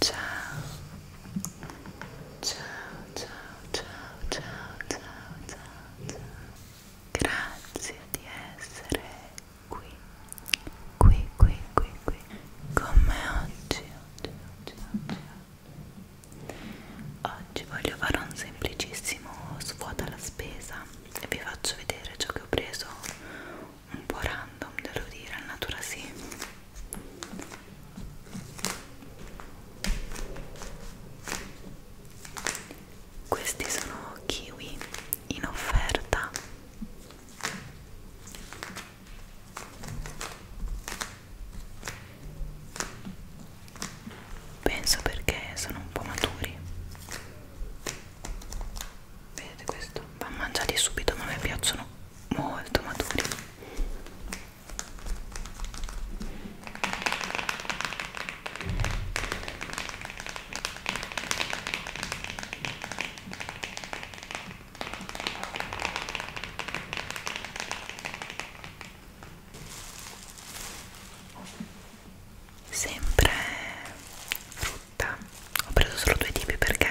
Ciao, ciao, ciao, ciao, ciao, ciao, ciao, ciao. Grazie di essere qui, qui, qui, qui, qui, con me oggi, oggi, oggi, oggi oggi voglio fare un semplicissimo svuota alla spesa e vi faccio vedere ciò che ho preso un po' random devo dire a natura sì questi sono kiwi in offerta penso perché sono un po' maturi vedete questo? va mangiati subito ma a me piacciono molto maturi sempre frutta ho preso solo due tipi perché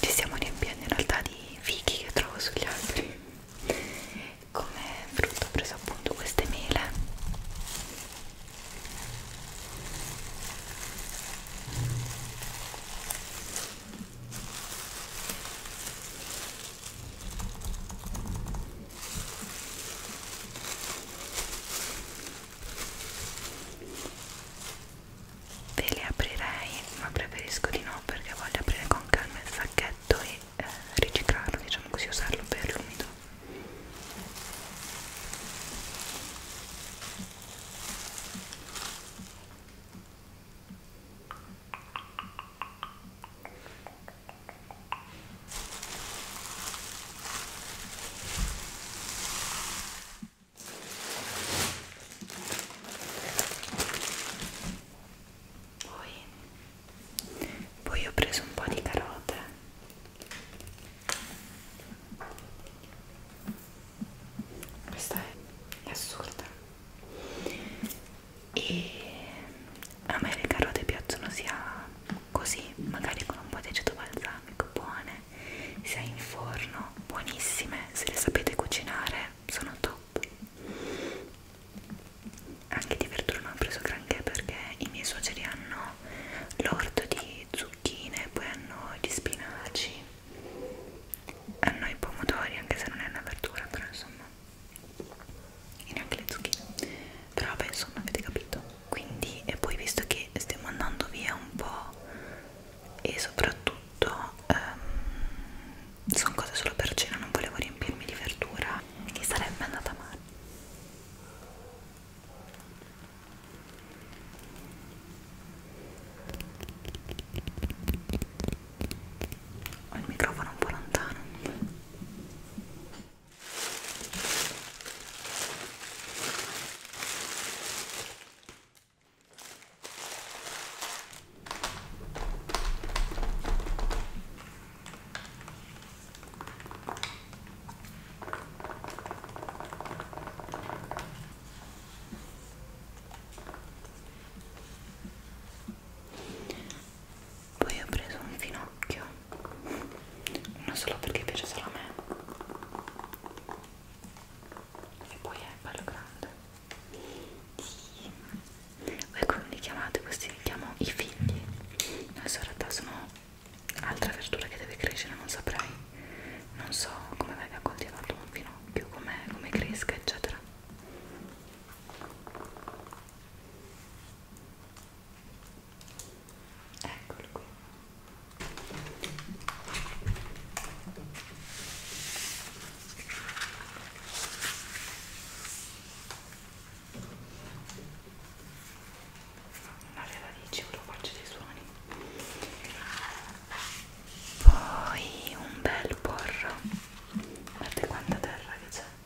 ci siamo riempiendo in realtà di fichi che trovo sugli altri come frutta ho preso appunto queste mele Ve le aprirei, ma preferisco di no perché voglio aprire con calma il sacchetto e eh, riciclarlo, diciamo così, usarlo per l'umido. Poi, poi ho preso un po' di carote questa è assurda e a me le carote piacciono sia così, magari con un po' di aceto balsamico, buone, sia in forno, buonissime, se le sapete cucinare sono top. Anche di verdura non ho preso granché perché i miei suoceri hanno l'orto di zucchine, poi hanno gli spinaci, hanno i pomodori, anche se non è una verdura, però insomma e neanche le zucchine però vabbè insomma avete capito quindi e poi visto che stiamo andando via un po' e soprattutto um, ehm, sono cose solo per cena non volevo riempirmi di verdura che sarebbe andata male ho il microfono un po' lontano poi ho preso un finocchio uno solo perché piace solo a me e poi è bello grande sì. voi come li chiamate? questi li chiamo i figli adesso in realtà sono altra verdura che deve crescere non saprei non so come venga coltivato un finocchio come com cresca eccetera Eccolo qui. Non aveva dici, ve lo faccio dei suoni. Poi un bel porro. Guardate quanta terra che c'è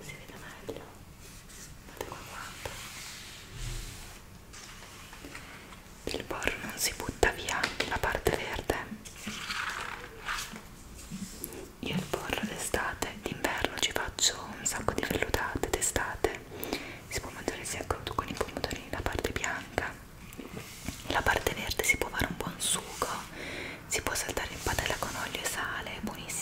si vede meglio guardate qua quanto il porno non si butta via la parte verde io il porno d'estate d'inverno ci faccio un sacco di vellutate d'estate si può mangiare sia crudo con i pomodori la parte bianca la parte verde si può fare un buon sugo si può saltare in padella con olio e sale è buonissimo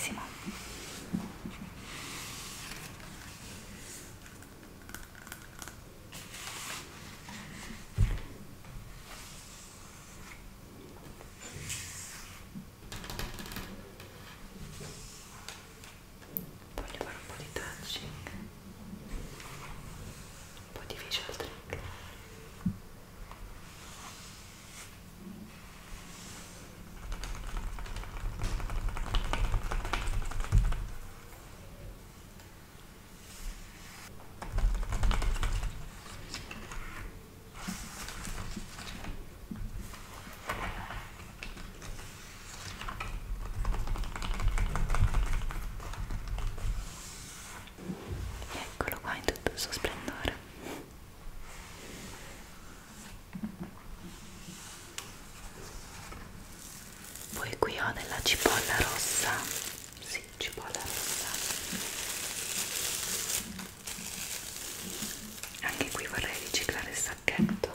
voglio fare un po' di touching un po' di facial trick ok Eccolo qua in tutto il suo splendore. Poi qui ho della cipolla rossa. Sì, cipolla rossa. Anche qui vorrei riciclare il sacchetto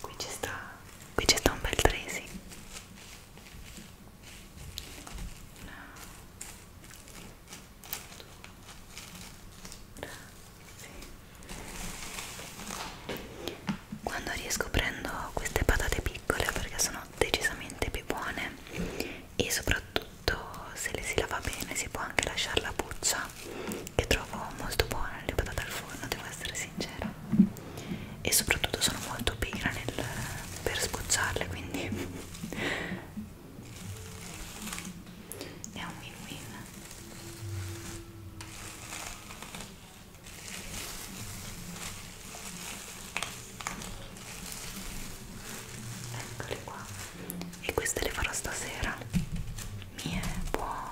Qui ci sta, qui ci sta un bel tracing. Una quando riesco prendo queste patate piccole perché sono decisamente più buone e soprattutto se le si lava bene si può anche lasciare la buccia che trovo molto buona le patate al forno, devo essere sincera e soprattutto sono molto pigra nel, per sbucciarle quindi è un win win eccole qua e queste le farò stasera mie buone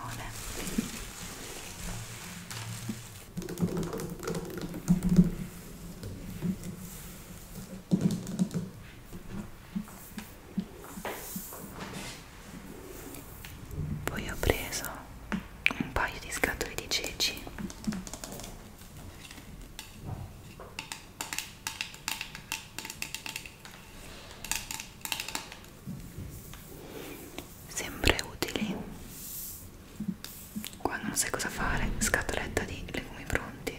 poi ho preso un paio di scatole di ceci sempre utili quando non sai cosa fare scatoletta di legumi pronti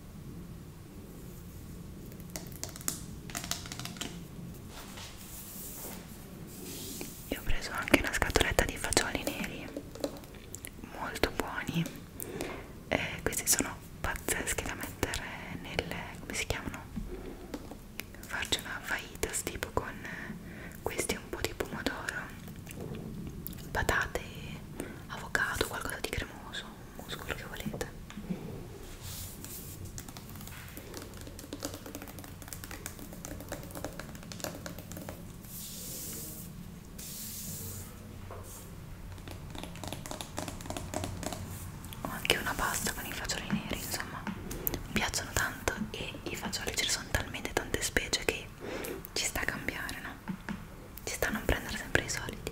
Io ho preso anche una scatoletta di fagioli neri molto buoni e questi sono pazzeschi da mettere nelle come si chiamano farci una fajitas tipo con questi un po' di pomodoro patate avocado qualcosa di cremoso muscolo che volete ho anche una pasta con i fagioli neri insomma mi piacciono tanto e i fagioli ce ne sono talmente tante specie che ci sta a cambiare no? ci sta a non prendere sempre i soliti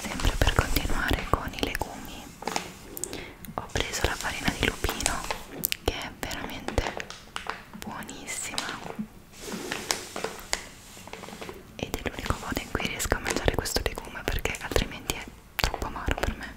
sempre per continuare con i legumi ho preso la farina di lupino che è veramente buonissima ed è l'unico modo in cui riesco a mangiare questo legume perché altrimenti è troppo amaro per me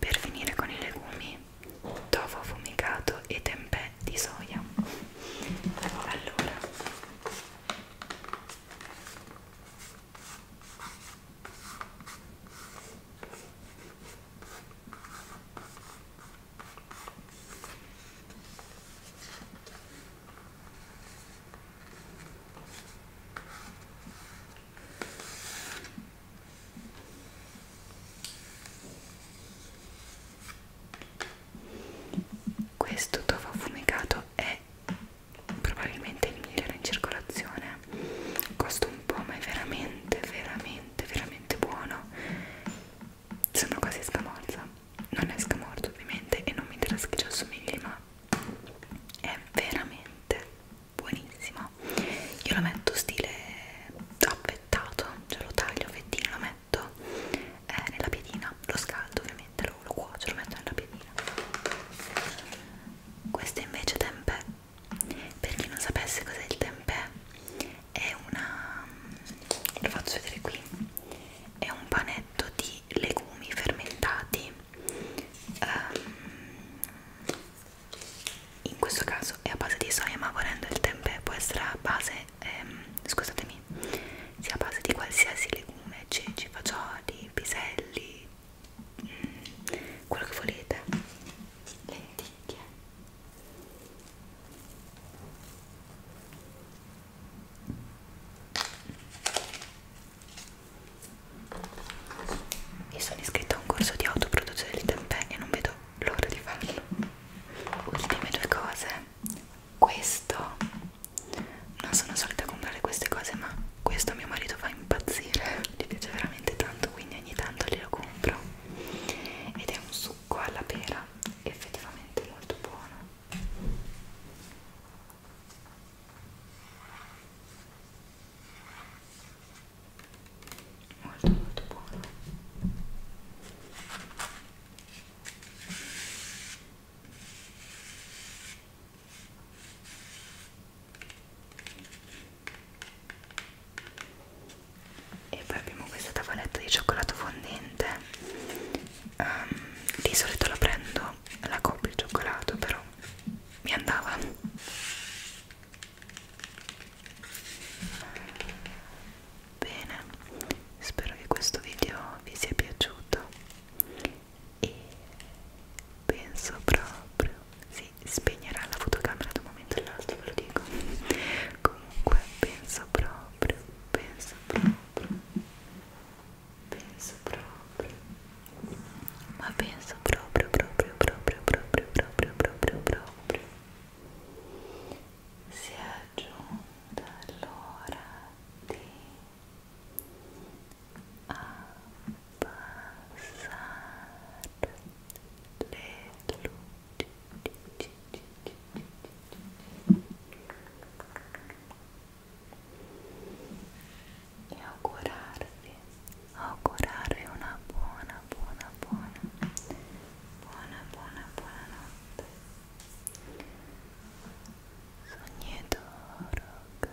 Per finire con i legumi, tofu fumicato e tempeh di soia. Allora questo tofu fumicato è probabilmente il migliore in circolazione costa un po' ma è veramente veramente veramente buono sembra quasi scamorza non è scamorza ovviamente e non mi interessa che ci assomigli ma è veramente buonissimo io lo metto stile affettato cioè lo taglio a fettine lo metto eh, nella piedina lo scaldo ovviamente lo, lo cuocio lo metto nella piedina questo invece tempeh per chi non sapesse cos'è il tempeh è una lo faccio vedere qui è un panetto di legumi fermentati um, in questo caso è a base di soia ma volendo il tempeh può essere a base ehm, scusatemi sia a base di qualsiasi legume ceci, fagioli, piselli quello che volete lenticchie io sono iscritta a un corso di autoproduzione di tempeh e non vedo l'ora di farlo ultime due cose questo non sono solita comprare queste cose ma questo mio marito fa impazzire gli piace veramente tanto quindi ogni tanto glielo compro ed è un succo alla pera effettivamente molto buono molto molto buono e poi abbiamo questa tavoletta di cioccolato fondente um, di solito la prendo la copro il cioccolato però mi andava bene spero che questo video vi sia piaciuto e penso proprio sì si spegnerà la fotocamera da un momento all'altro, ve lo dico. Comunque, penso proprio, penso proprio, penso proprio, ma penso proprio, proprio, proprio, proprio, proprio, proprio, proprio. Si è giunta l'ora di. Ah, passar le e augurarvi augurarvi una buona buona buona buona buona buona notte sognatore good